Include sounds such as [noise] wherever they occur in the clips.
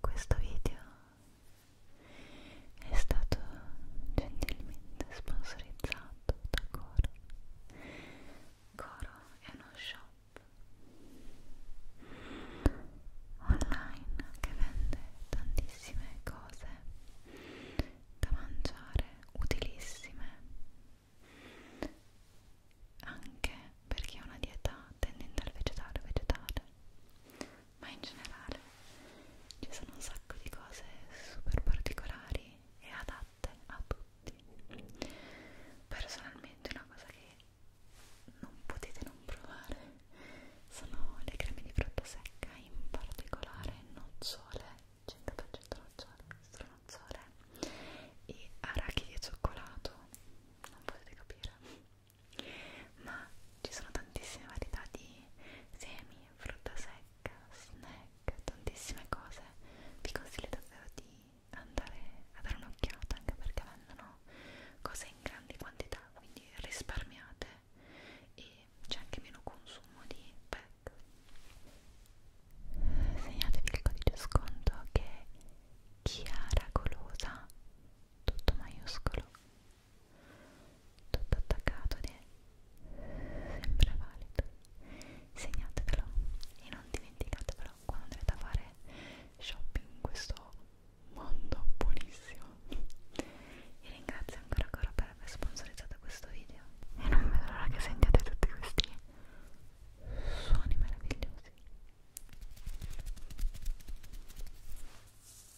Questo video è stato gentilmente sponsorizzato da Coro. Coro è uno shop online che vende tantissime cose da mangiare utilissime anche per chi ha una dieta tendente al vegetale vegetale ma in generale ci sono un sacco di cose super particolari e adatte a tutti. Personalmente una cosa che non potete non provare sono le creme di frutta secca, in particolare nocciole, 100% nocciole, stranocciole e arachidi e cioccolato, non potete capire ma ci sono tantissime varietà di semi, frutta secca, snack, tantissime cose vi consiglio davvero di andare a dare un'occhiata anche perché vendono cose in grandi quantità quindi risparmiate e c'è anche meno consumo di pack segnatevi il codice sconto che è Chiara Golosa tutto maiuscolo, tutto attaccato ed è sempre valido. Segnatevelo e non dimenticatevelo quando andrete a fare shopping in questo mondo buonissimo. Vi ringrazio ancora ancora per aver sponsorizzato questo video e non vedo l'ora che sentiate tutti questi suoni meravigliosi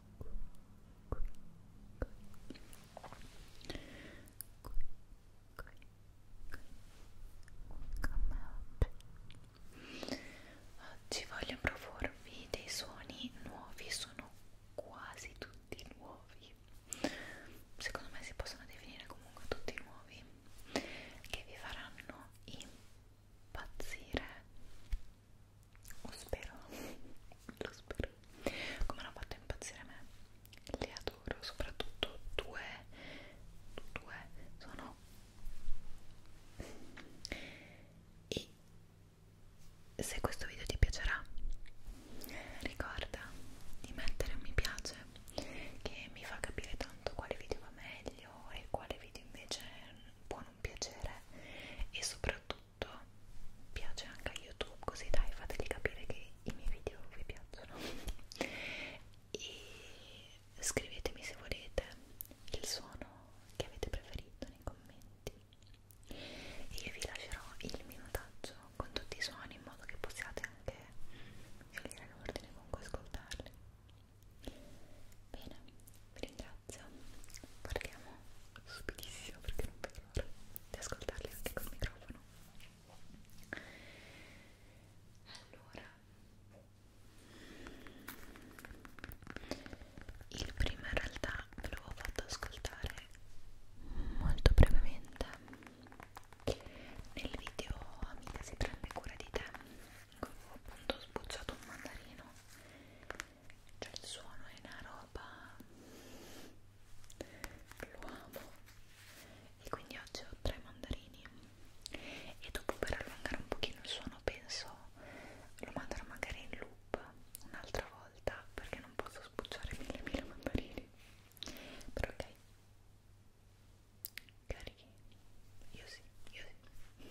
oggi oggi voglio proporvi dei suoni nuovi sono quasi tutti nuovi secondo me si possono definire comunque tutti nuovi che vi faranno impazzire lo spero [laughs] lo spero come hanno fatto impazzire me le adoro soprattutto due due sono e se questo video ti piacerà ricorda di mettere un mi piace che mi fa capire tanto quale video va meglio e quale video invece può non piacere e soprattutto tutto piace anche a YouTube così dai fateli capire che i miei video vi piacciono [laughs] e scrivetemi se volete il suono che avete preferito nei commenti e io vi lascerò il minutaggio con tutti i suoni in modo che possiate anche scegliere l'ordine con cui ascoltarli bene vi ringrazio partiamo subitissimo perché non vedo sempre di ascoltarli anche col microfono allora il primo in realtà ve l'avevo fatto ascoltare molto brevemente nel video Amica si prende cura di te avevo appunto sbucciato un mandarino cioè il suono è una roba lo amo e quindi oggi ho tre mandarini e dopo per allungare un pochino il suono penso lo manderò magari in loop un'altra volta perché non posso sbucciare mille mille mandarini però ok carichi io sì io sì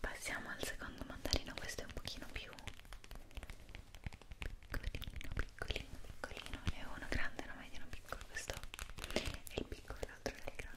Passiamo al secondo mandarino, questo è un pochino più piccolino, piccolino piccolino piccolino ne ho uno grande, uno medio, uno piccolo questo è il piccolo, l'altro è il grande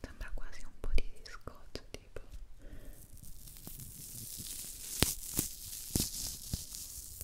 Sembra quasi un po' di scotch tipo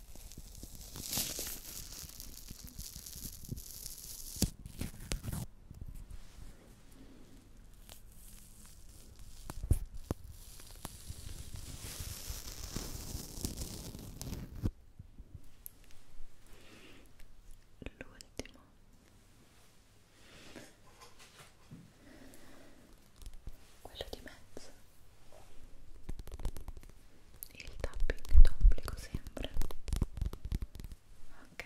l'ultimo quello di mezzo il tapping d'obbligo sempre ok ok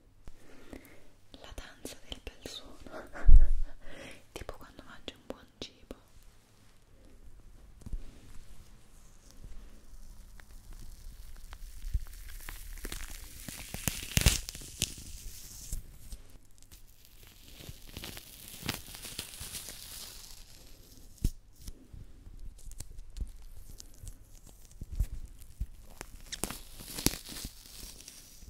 la danza del bel suono [laughs] tipo quando mangi un buon cibo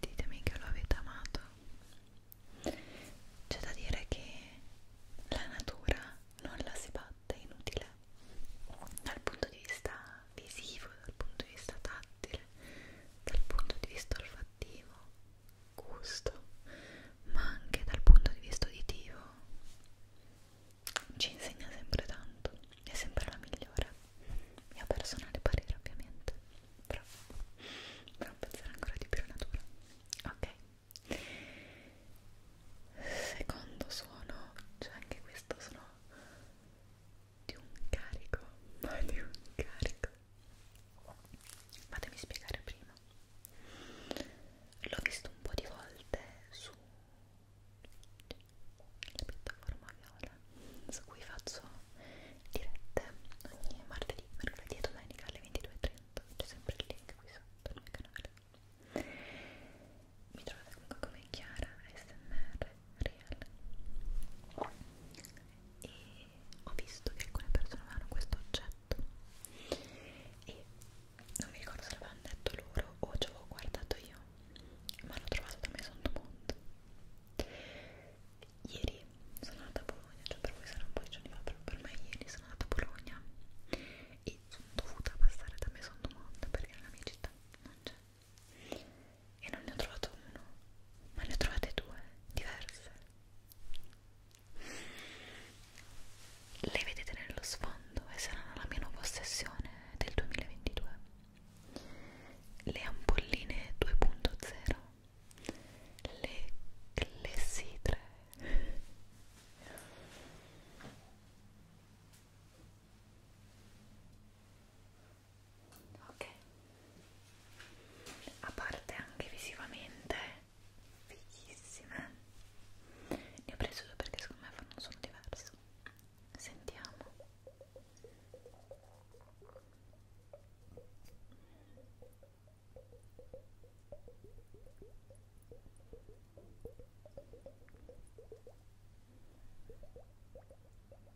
Ditemi che lo avete amato. C'è da dire che la natura non la si batte, è inutile dal punto di vista visivo, dal punto di vista tattile dal punto di vista olfattivo, gusto, ma anche dal punto di vista uditivo ci insegna sempre tanto, è sempre la migliore, mio personale parere ovviamente, però non pensare ancora di più alla natura. Ok, secondo suono, cioè anche questo sono di un carico, ma di un carico. Fatemi spiegare prima. L'ho visto un po' di volte su la piattaforma viola su cui faccio dirette ogni martedì, mercoledì e domenica alle 22.30. C'è sempre il link qui sotto nel mio canale. Mi trovate comunque come Chiara ASMR Real e ho visto che alcune persone avevano questo oggetto e non mi ricordo se l'avevano detto loro o ci avevo guardato io ma l'ho trovato da me sotto monte ieri sono andata a Bologna cioè per voi sarà un po' di giorni fa però per me ieri sono andata a Bologna e sono dovuta passare da me sotto monte perché nella mia città non c'è e non ne ho trovato uno, ma ne ho trovate due diverse. Le vedete nello sfondo e saranno la mia nuova ossessione del 2022. Le ampolline 2.0, le clessidre ok a parte anche visivamente fighissime ne ho preso due perché secondo me fanno un suono diverso sentiamo ok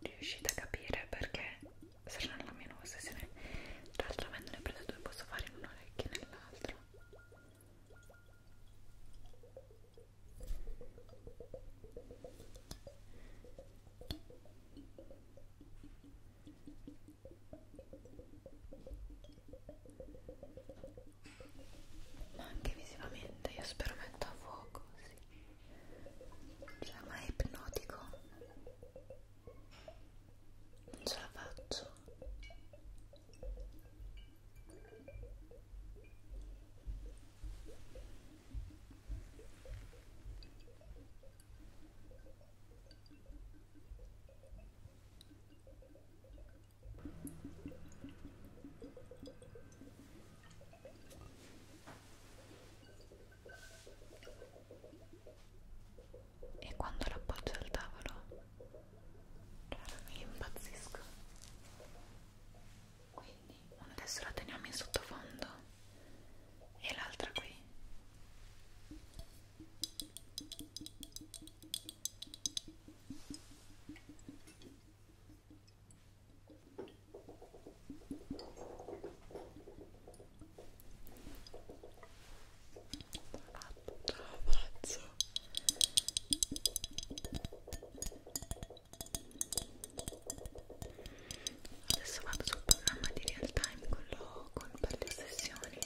Riuscite a capire perché sarà la mia nuova sessione? Tra l'altro avendo ne preso due posso fare in un'orecchia e nell'altra dentro ma anche visivamente io sperimento a fuoco sì. cioè ma è ipnotico non ce la faccio e quando l'appoggio al tavolo impazzisco quindi una adesso la teniamo in sottofondo e l'altra qui ce la faccio adesso vado sul programma di real time quello con per le sessioni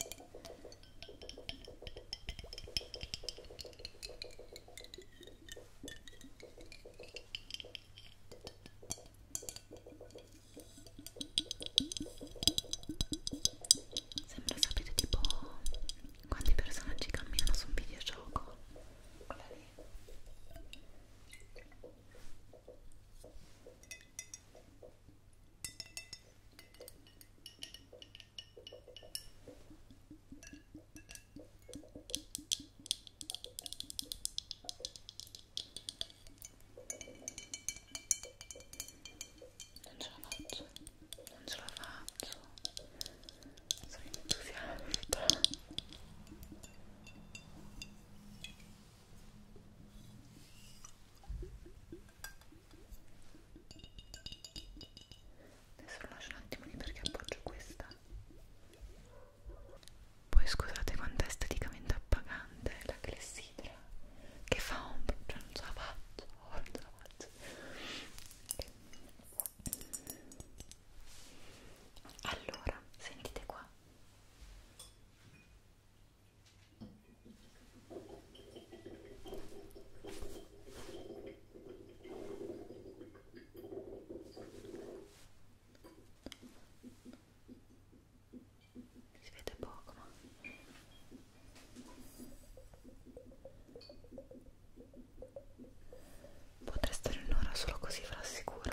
Sembra, sapete, tipo quanti personaggi camminano su un videogioco. Quella lì non ce la faccio non ce la faccio sono entusiasta adesso lo lascio un attimo lì perché appoggio questa poi scusate quanto è esteticamente appagante la clessidra che fa un po' cioè non ce la faccio volta la faccio allora sentite qua si vede poco ma Potrei stare un'ora solo così ve lo assicuro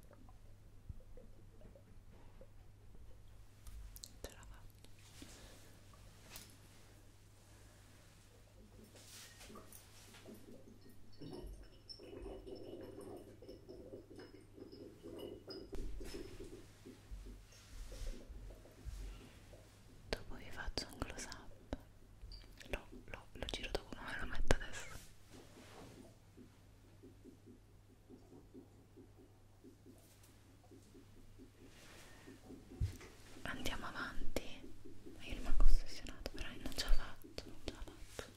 ce la faccio dopo vi faccio un close up lo, lo, lo giro dopo come me lo metto adesso Andiamo avanti Ma io rimango ossessionato però non ce l'ho fatto, non ce l'ho fatto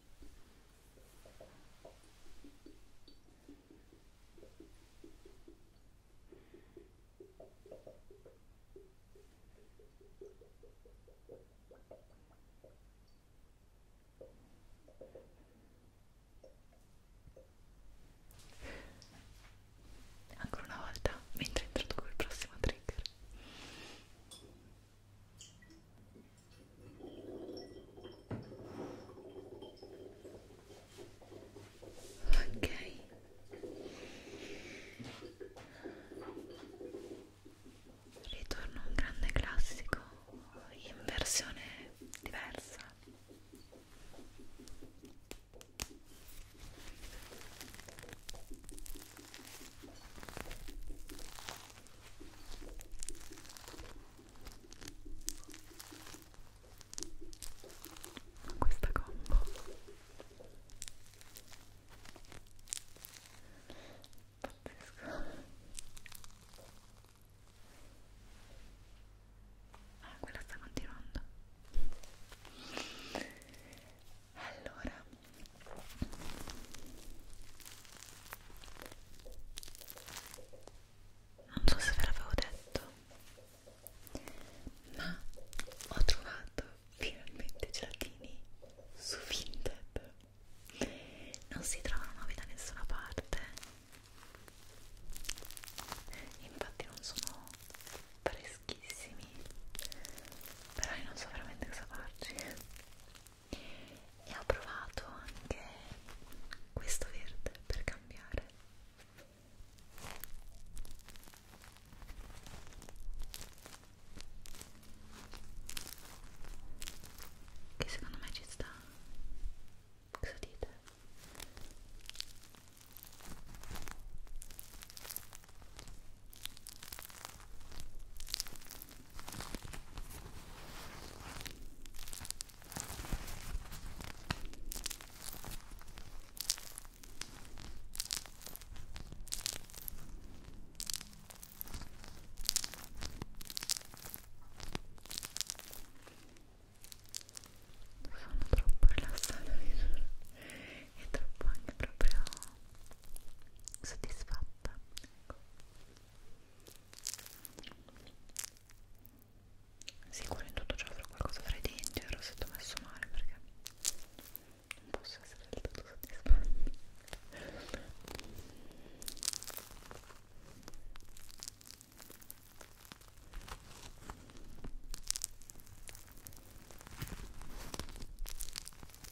Ancora una volta, mentre introduco il prossimo trigger. Ok. Ritorno a un grande classico in versione diversa questa combo pazzesco ah quella sta continuando allora non so se ve l'avevo detto ma ho trovato finalmente gelatini su Vinted non si trovano nuovi da nessuna parte infatti non sono freschissimi però io non so veramente cosa farci e ho provato anche questo verde per cambiare che secondo me ci sta cosa dite? sono troppo rilassata e troppo anche proprio soddisfatta ecco. Sicuro in tutto ciò avrò qualcosa fra i denti, ero stato messo male perché non posso essere del tutto soddisfatto.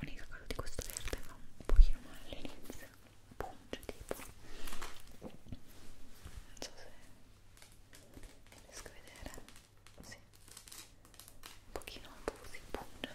L'unica cosa di questo verde fa un pochino male all'inizio, punge tipo. Non so se riesco a vedere. Sì. Un pochino si punge.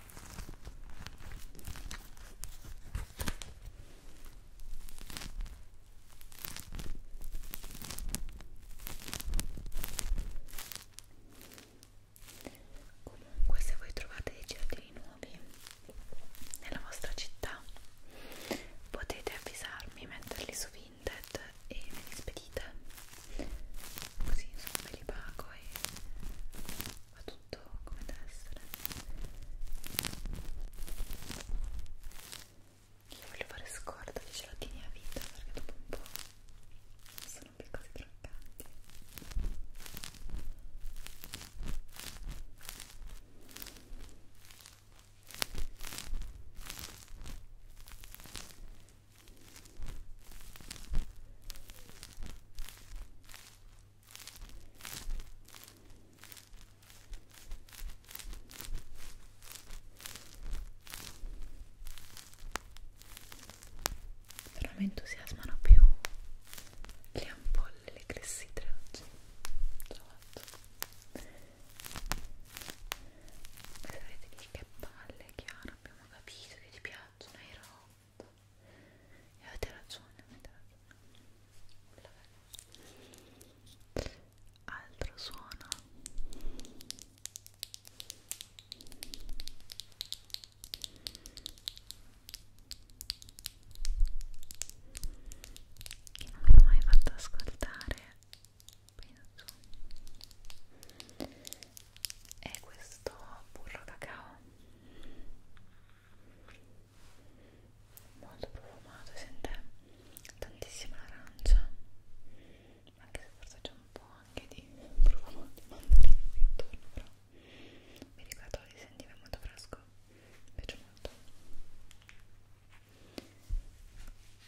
Comunque se voi trovate dei giardini nuovi nella vostra città potete avvisarmi, metterli su Vinted e me li spedite così insomma me li pago e ma tutto come deve essere io voglio fare scorta di gelatini a vita perché dopo un po' sono più cose croccanti però mi entusiasmano più le ampolle, le clessidre oggi. Trovato. Voi sapete lì che palle, Chiara, abbiamo capito che ti piacciono i rock fatto e avete ragione, avete ragione altro suono che non vi ho mai fatto ascoltare penso è questo burro cacao molto profumato sente tantissima arancia anche se forse c'è un po' anche di profumo di mandarino qui intorno però mi ricordo li sentiva molto fresco mi piace molto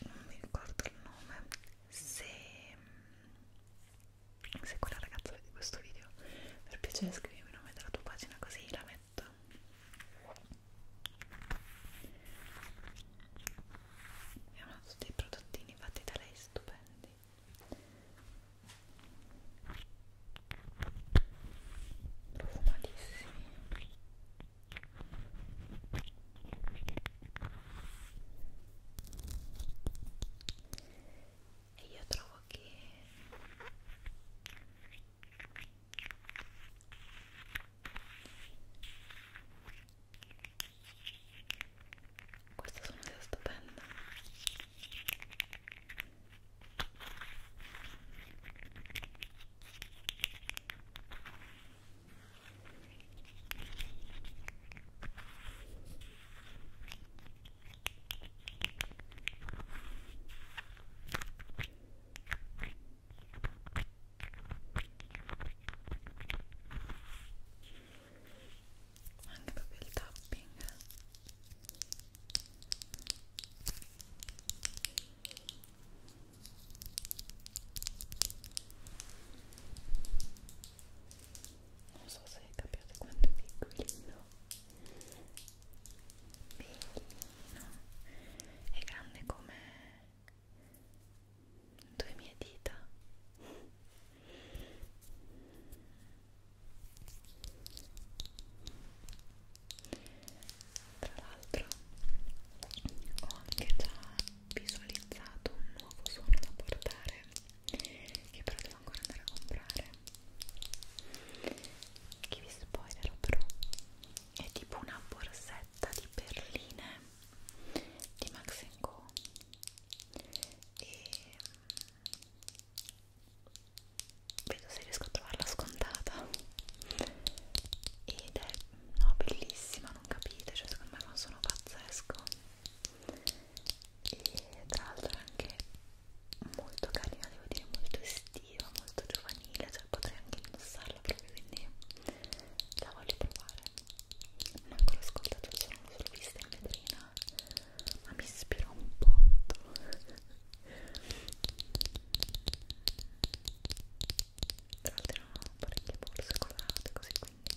non mi ricordo il nome se se quella ragazza vede questo video per piacere scrivimi il nome della tua pagina così la metto abbiamo tutti i prodottini fatti da lei stupendi profumatissimi e io trovo che questo suono sia stupendo anche proprio il tapping non so se capite quanto di equilibrio Bellino. È grande come due mie dita. Tra l'altro ho anche già visualizzato un nuovo suono da portare che però devo ancora andare a comprare che vi spoilerò però è tipo una borsetta di perline di Max Co e mm, vedo se riesco a trovarla scontata ed è no, bellissima non capite cioè secondo me fa un suono pazzesco e tra l'altro è anche molto carina, devo dire molto estiva, molto giovanile, cioè potrei anche indossarla proprio, quindi la voglio provare. Non l'ho ascoltato, sono solo vista in vetrina, ma mi ispira un po'. Tra l'altro non ho parecchie borse colorate così quindi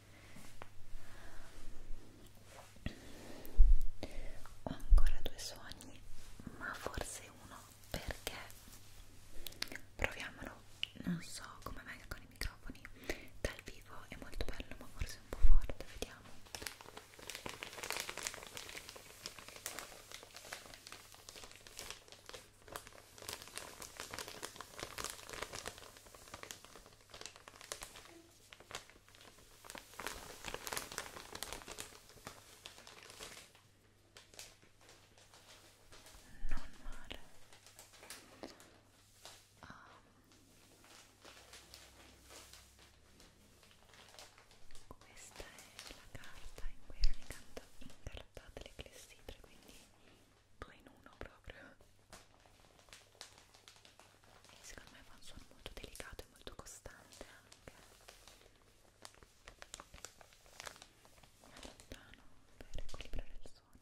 Ho ancora due sogni, ma forse uno perché proviamolo. Non so come venga con i microfoni. Dal vivo è molto bello, ma forse un po' forte. Vediamo non male um. questa è la carta in cui erano incartate le clessidre quindi due in uno proprio e secondo me fa un suono molto delicato e molto costante anche mi allontano per equilibrare il suono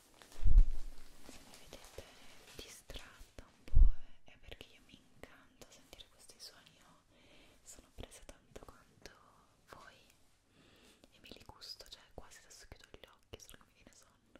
se mi vedete distratta un po' è perché io mi incanto a sentire questi suoni io sono presa tanto quanto voi e me li gusto, cioè quasi adesso chiudo gli occhi solo che mi viene sonno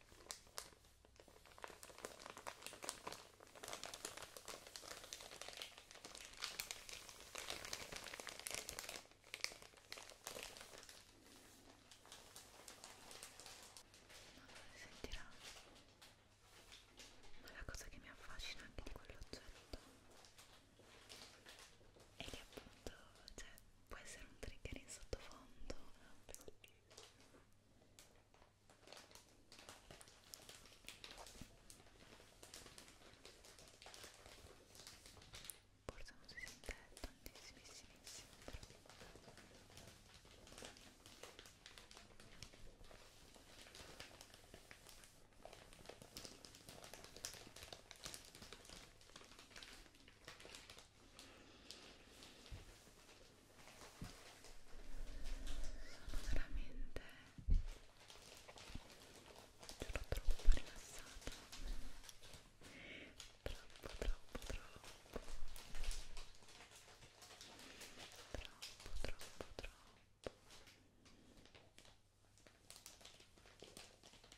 si sentirà ma la cosa che mi affascina anche di quell'oggetto è che appunto cioè può essere un trigger in sottofondo forse non si sente tantissimissimo sono veramente giuro troppo rilassata troppo troppo troppo troppo troppo troppo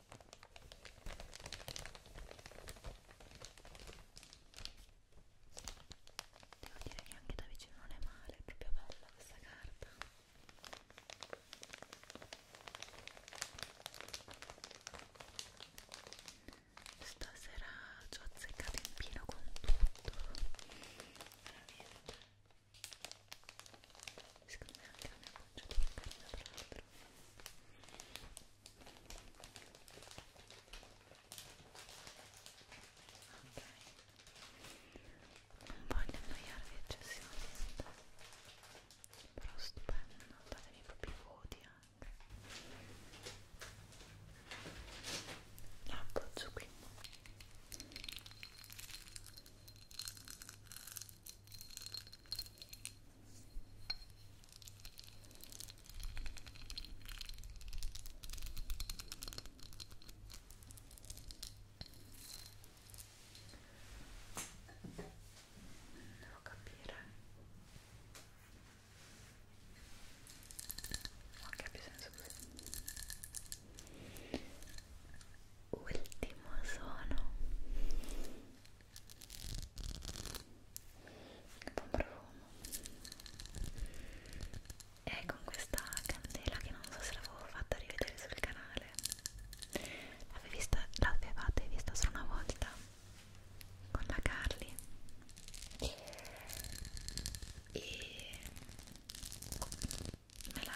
Devo dire che anche da vicino non è male, è proprio bella questa carta. Stasera ci ho azzeccato in pieno con tutto. Veramente. Secondo me anche la mia conciatura è carina, tra l'altro dentro ok non voglio annoiarvi eccessivamente però stupendo datemi i propri voti anche la appoggio qui Devo capire ma che abbia senso così ultimo suono che buon profumo e con questa candela che non so se l'avevo fatta rivedere sul canale l'avevate vista solo una volta con la Carly e me la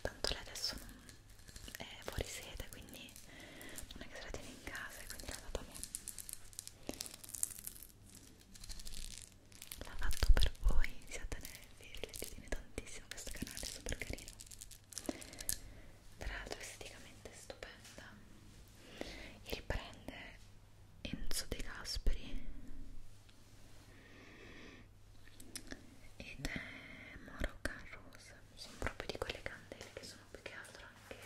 tanto lei adesso non è fuori sede quindi non è che se la tiene in casa e quindi l'ha data a me l'ha fatto per voi siate nervi rileggete tantissimo questo canale è super carino tra l'altro esteticamente è stupenda riprende Enzo De Gasperi ed è Moroccan Rose sono proprio di quelle candele che sono più che altro anche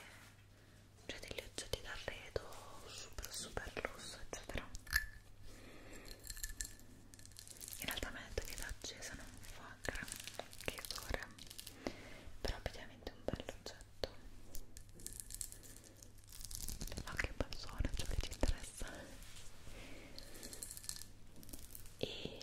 cioè degli oggetti d'arredo super super lusso eccetera in realtà mi ha detto che l'accesa non fa granché odore però ovviamente è un bel oggetto ma che bel suono ciò cioè, che ci interessa e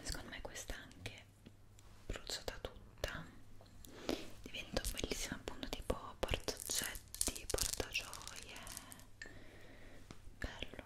E secondo me questa anche bruciata tutta diventa bellissima appunto tipo porta oggetti porta gioie bello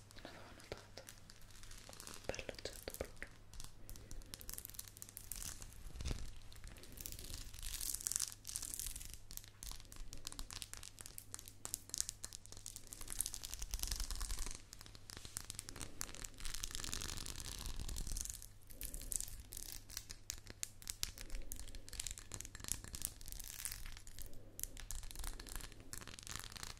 non avevo notato bello jetpack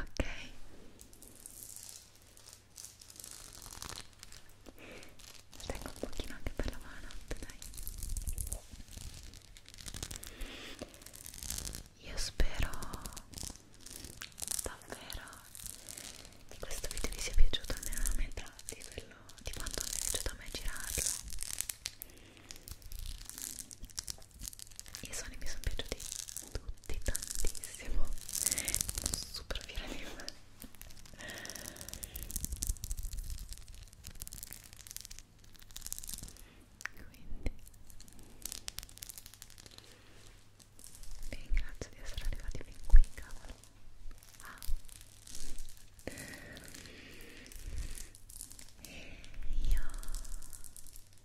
ok lo tengo un pochino anche per la buonanotte dai io spero davvero che questo video vi sia piaciuto almeno la metà di quello di quanto mi è piaciuto a me girarlo i suoni mi sono piaciuti tutti tantissimo sono super fiera di me quindi vi ringrazio di essere arrivati fin qui cavolo wow ah. io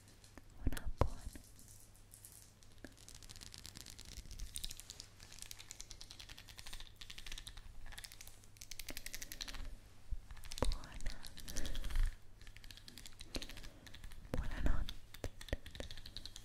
una buona buona buonanotte sogni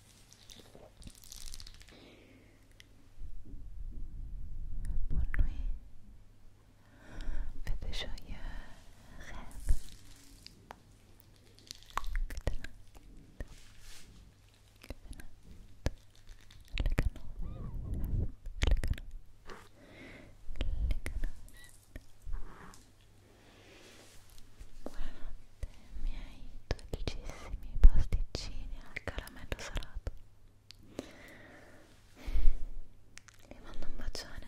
Bonne faites de joyeux rêves. Good night. Good night. Click on Click on Click on Buonanotte, miei dolcissimi pasticcini al caramello salato. Vi mando un bacione.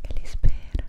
Che li spero.